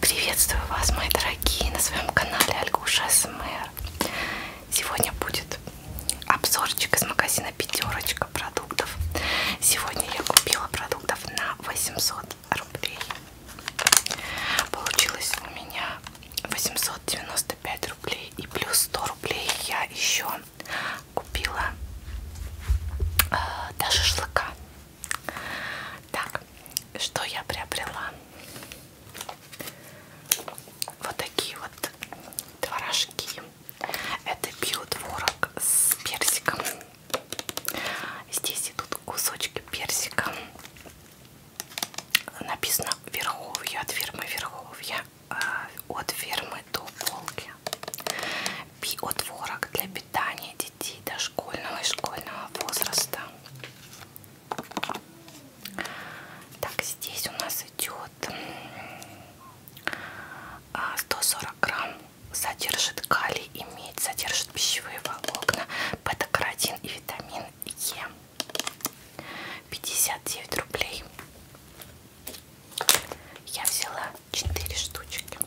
Приветствую вас, мои дорогие, на своем канале Альгуша СМР. Сегодня будет обзорчик из магазина Пятерочка продуктов. Сегодня я купила продуктов на 800 рублей. Получилось у меня 895 рублей и плюс 100 рублей я еще купила э, до шашлыка. Так, что я приобрела? Вот такие вот творожки. Это биотворог с персиком. Здесь идут кусочки персика. Написано Верховье, от фирмы Верховья, э, от фермы до полки. Биотворог для питание детей дошкольного и школьного возраста. Так, здесь у нас идет 140 а, грамм содержит калий и медь, содержит пищевые волокна, бета-каротин и витамин Е. 59 рублей. Я взяла 4 штучки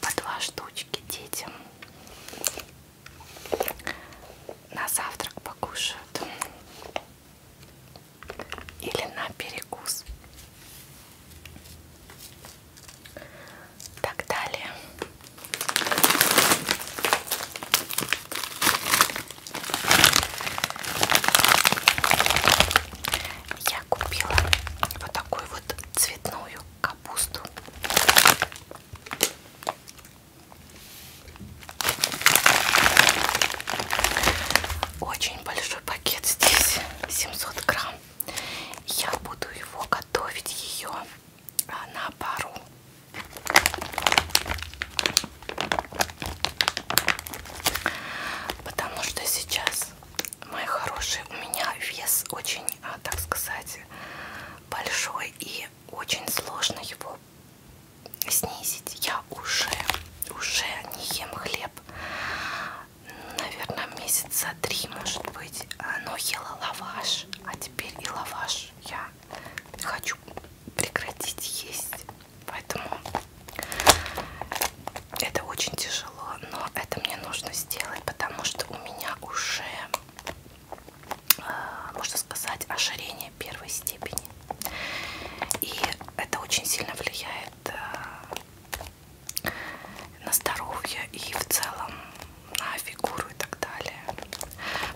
по 2 штучки детям на завтрак покушают или на перекус так далее я купила вот такую вот цветную капусту. Очень большой пакет здесь, 700 грамм. Я буду его готовить ее а, на пару. Потому что сейчас мои хорошие, у меня вес очень, а, так сказать, большой и очень сложно его снизить. Я уже, уже не ем хлеб, наверное, месяца три, может быть, а, но ела лаваш, а теперь и лаваш я хочу прекратить есть. Поэтому это очень тяжело, но это мне нужно сделать, потому что у меня уже, э, можно сказать, ожирение первой степени. И это очень сильно влияет э, на здоровье и в целом на фигуру и так далее.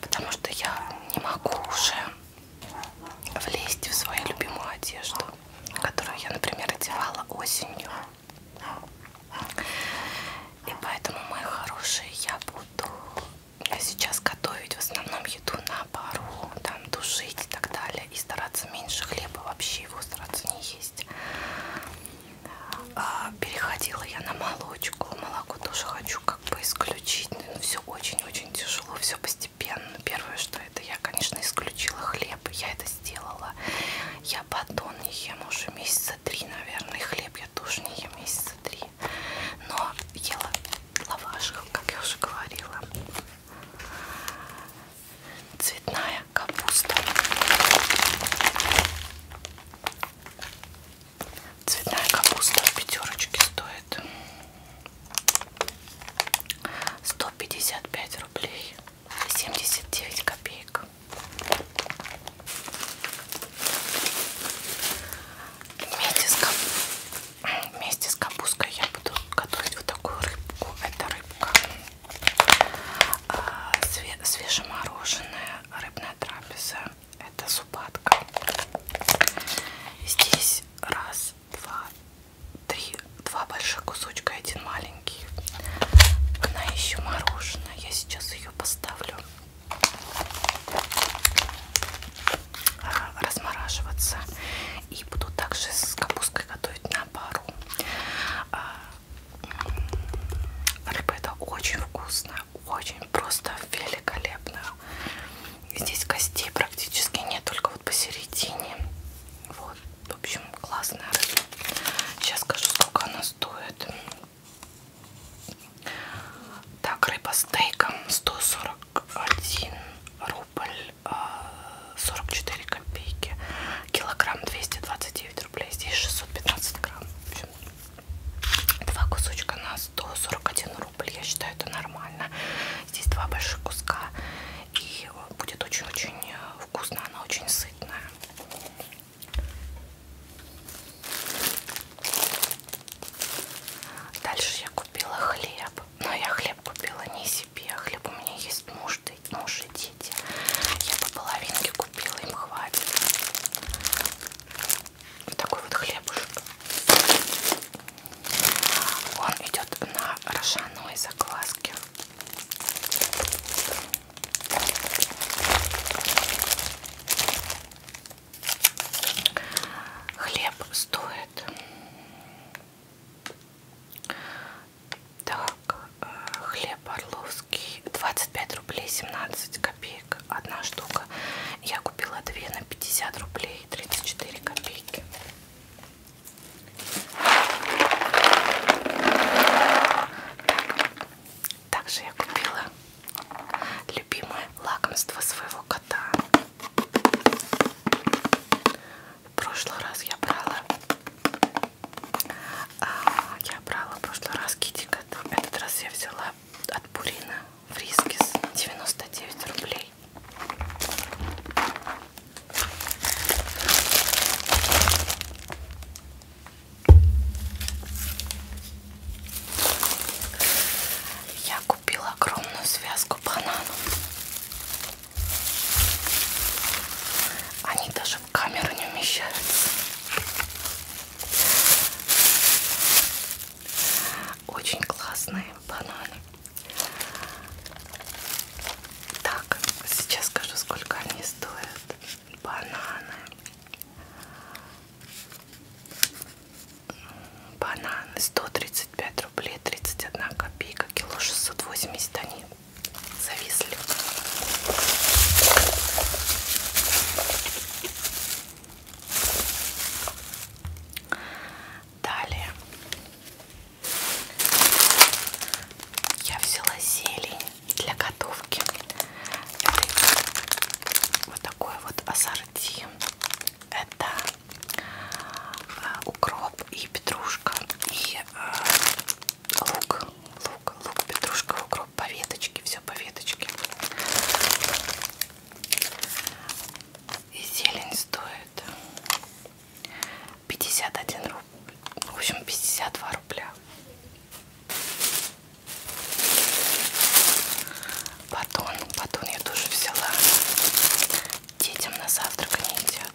Потому что я не могу уже влезть в свою любимую одежду которую я, например, одевала осенью. И поэтому, мои хорошие, я буду э, сейчас готовить в основном еду на пару, там тушить и так далее, и стараться меньше хлеба, вообще его стараться не есть. А, переходила я на молочку, молоко тоже хочу как бы исключить, но все очень-очень тяжело, все постепенно. Первое, что что это. Я, конечно, исключила хлеб. Я это сделала. Я батон не ем уже месяца три, наверное. И хлеб я тоже не ем месяца три. Но ела лаваш, как я уже говорила. Цветная капуста. Цветная капуста в пятерочке стоит 155 рублей 79 копеек вместе с, кап... вместе с капусткой я буду готовить вот такую рыбку это рыбка а, Све... свежемороженая рыбная трапеза это зубатка здесь раз два, три, два больших кусочка и один маленький. Она еще мороженое. Я сейчас ее поставлю а, размораживаться. И буду также с капусткой готовить на пару. А, рыба это очень вкусно, очень просто великолепно. Здесь костей практически нет, только вот посередине. Вот, в общем, классная рыба. Сейчас скажу, сколько она стоит. Так, рыба стейком 141 рубль 44 а, копейки. Килограмм 229 рублей. Здесь 615 грамм. В общем, два кусочка на 141 рубль, я считаю это нормально. Здесь два больших куска и будет очень-очень э, вкусно, она очень сытная. Дальше я купила хлеб, но я хлеб купила не себе, хлеб у меня есть муж, муж и дети. Я по половинке купила, им хватит. Вот такой вот хлебушек. Он идет на рожаной закваске. Хлеб стоит. Так, э, хлеб Орловский 25 рублей 17 копеек. Одна штука. Я купила две на 50 рублей 34 копейки. Также я купила любимое лакомство своего кота. В прошлый раз я брала, а, я брала в прошлый раз китикет. Этот раз я взяла от Пурина фрискис 99 рублей я купила огромную связку бананов. Они даже в камеру не умещаются. Очень классные бананы. Так, сейчас скажу, сколько они стоят. Бананы. Бананы 135 рублей 31 копейка, кило 680 они зависли. Далее я взяла зелень для готовки. Это вот такой вот ассорти. Это э, укроп и петрушка и э, лук, лук, лук, петрушка, укроп по веточке, все по веточке. И зелень стоит 51 рубль. В общем, 52 рубля. Батон. Батон я тоже взяла. Детям на завтрак не едят.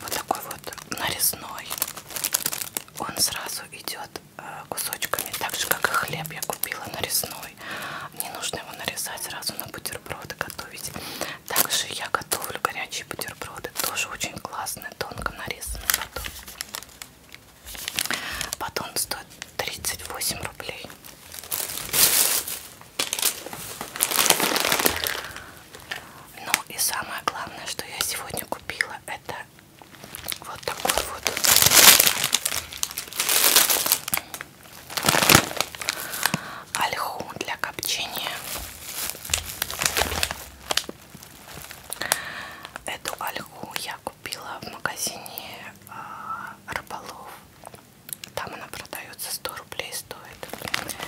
Вот такой вот нарезной. Он сразу идет э, кусочками, так же как и хлеб я купила нарезной свой. Не нужно его нарезать сразу на бутерброды готовить. Также я готовлю горячие бутерброды. Тоже очень классные, тонко нарезанные батон. Батон стоит 38 рублей. Ну и самое главное, что я сегодня купила, это вот такой вот ольху для копчения. Эту ольху я купила в магазине э, рыболов. Там она продается 100 рублей стоит.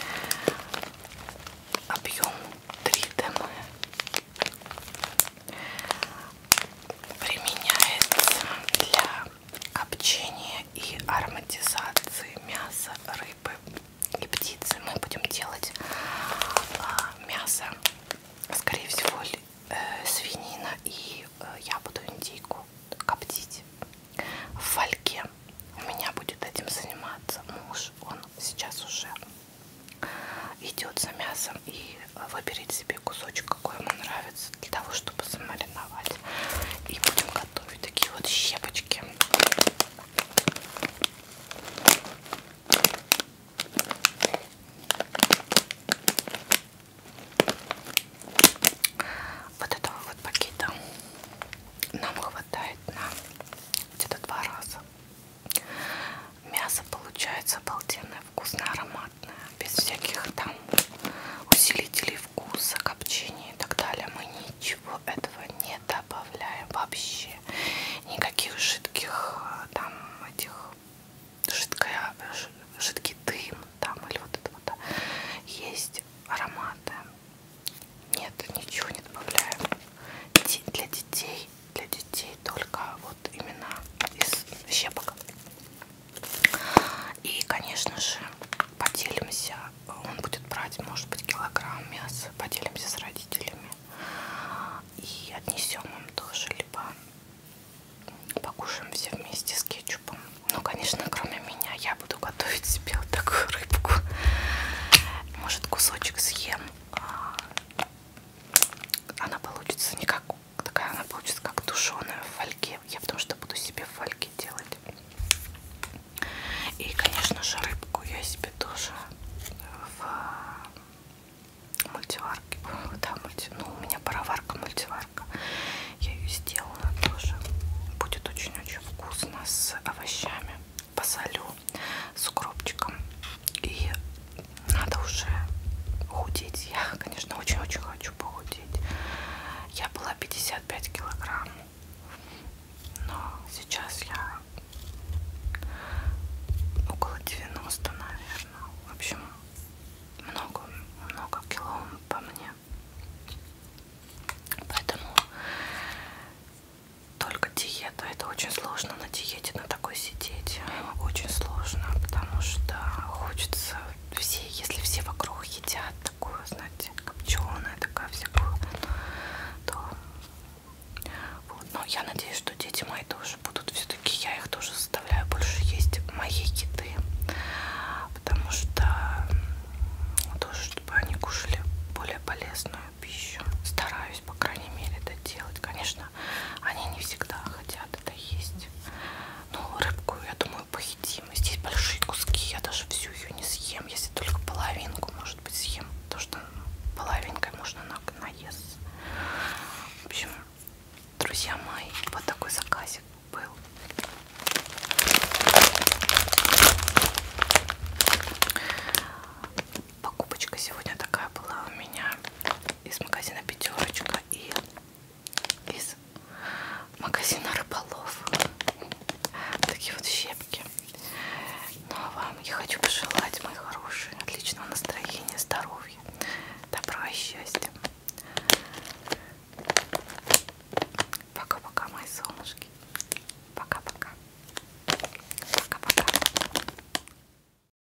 Объем 3 дм. Применяется для копчения и ароматизации мяса, рыбы и птицы. Мы будем делать э, мясо, скорее всего, э, свинина, и э, я буду индейку коптить в фольге. У меня будет этим заниматься муж, он сейчас уже идет за мясо вкусом и э, выберите себе кусочек, какой ему нравится, для того, чтобы замариновать. И будем готовить такие вот щепочки. Вот этого вот пакета нам хватает на где-то два раза. Мясо получается обалденное вкусно ароматная, без всяких там усилителей вкуса, копчения и так далее. Мы ничего этого не добавляем вообще. Никаких жидких э, там этих жидкая, жидкий дым там или вот это вот. Есть ароматы. Нет, ничего не добавляем. Для детей, для детей только вот именно из щепок. И, конечно же, поделимся. Он будет брать, может быть, килограмм мяса. Поделимся с родителями. И отнесем им тоже, либо покушаем все вместе с кетчупом. Ну, конечно, кроме меня, я буду готовить себе вот такую рыбку. Может, кусочек съем. А, она получится не как такая она получится как тушеная в фольге. Я потому что буду себе в фольге делать. И, конечно же, рыбку я себе тоже э, в мультиварке. Да, мульти... ну, у меня пароварка, мультиварка. Я ее сделала тоже. Будет очень-очень вкусно с овощами. Посолю с укропчиком и надо уже худеть. Я, конечно, очень-очень хочу похудеть. Я была 55 килограмм, но сейчас я около 90, наверное. В общем, много-много кило по мне. Поэтому только диета. Это очень сложно на диету диете на такой сидеть очень сложно, потому что хочется все, если все вокруг едят такую, знаете, копченую, такая всякую, то вот. Но я надеюсь, что дети мои тоже будут все-таки, я их тоже заставляю больше есть моей еды, потому что тоже, чтобы они кушали более полезную пищу. Стараюсь, по крайней мере, это делать. Конечно, они не всегда хотят это есть. Ну, рыбку, я думаю, поедим. Здесь большие куски, я даже всю ее не съем, если только половинку, может быть, съем. Потому что половинкой можно на наесть. В общем, друзья мои, вот такой заказик был. Покупочка сегодня такая была у меня из магазина Пятерочка и из магазина Рыболов. Такие вот щепки. Ну а вам я хочу пожелать, мои хорошие, отличного настроения, здоровья, добра и счастья. Пока-пока, мои солнышки. Пока-пока. Пока-пока.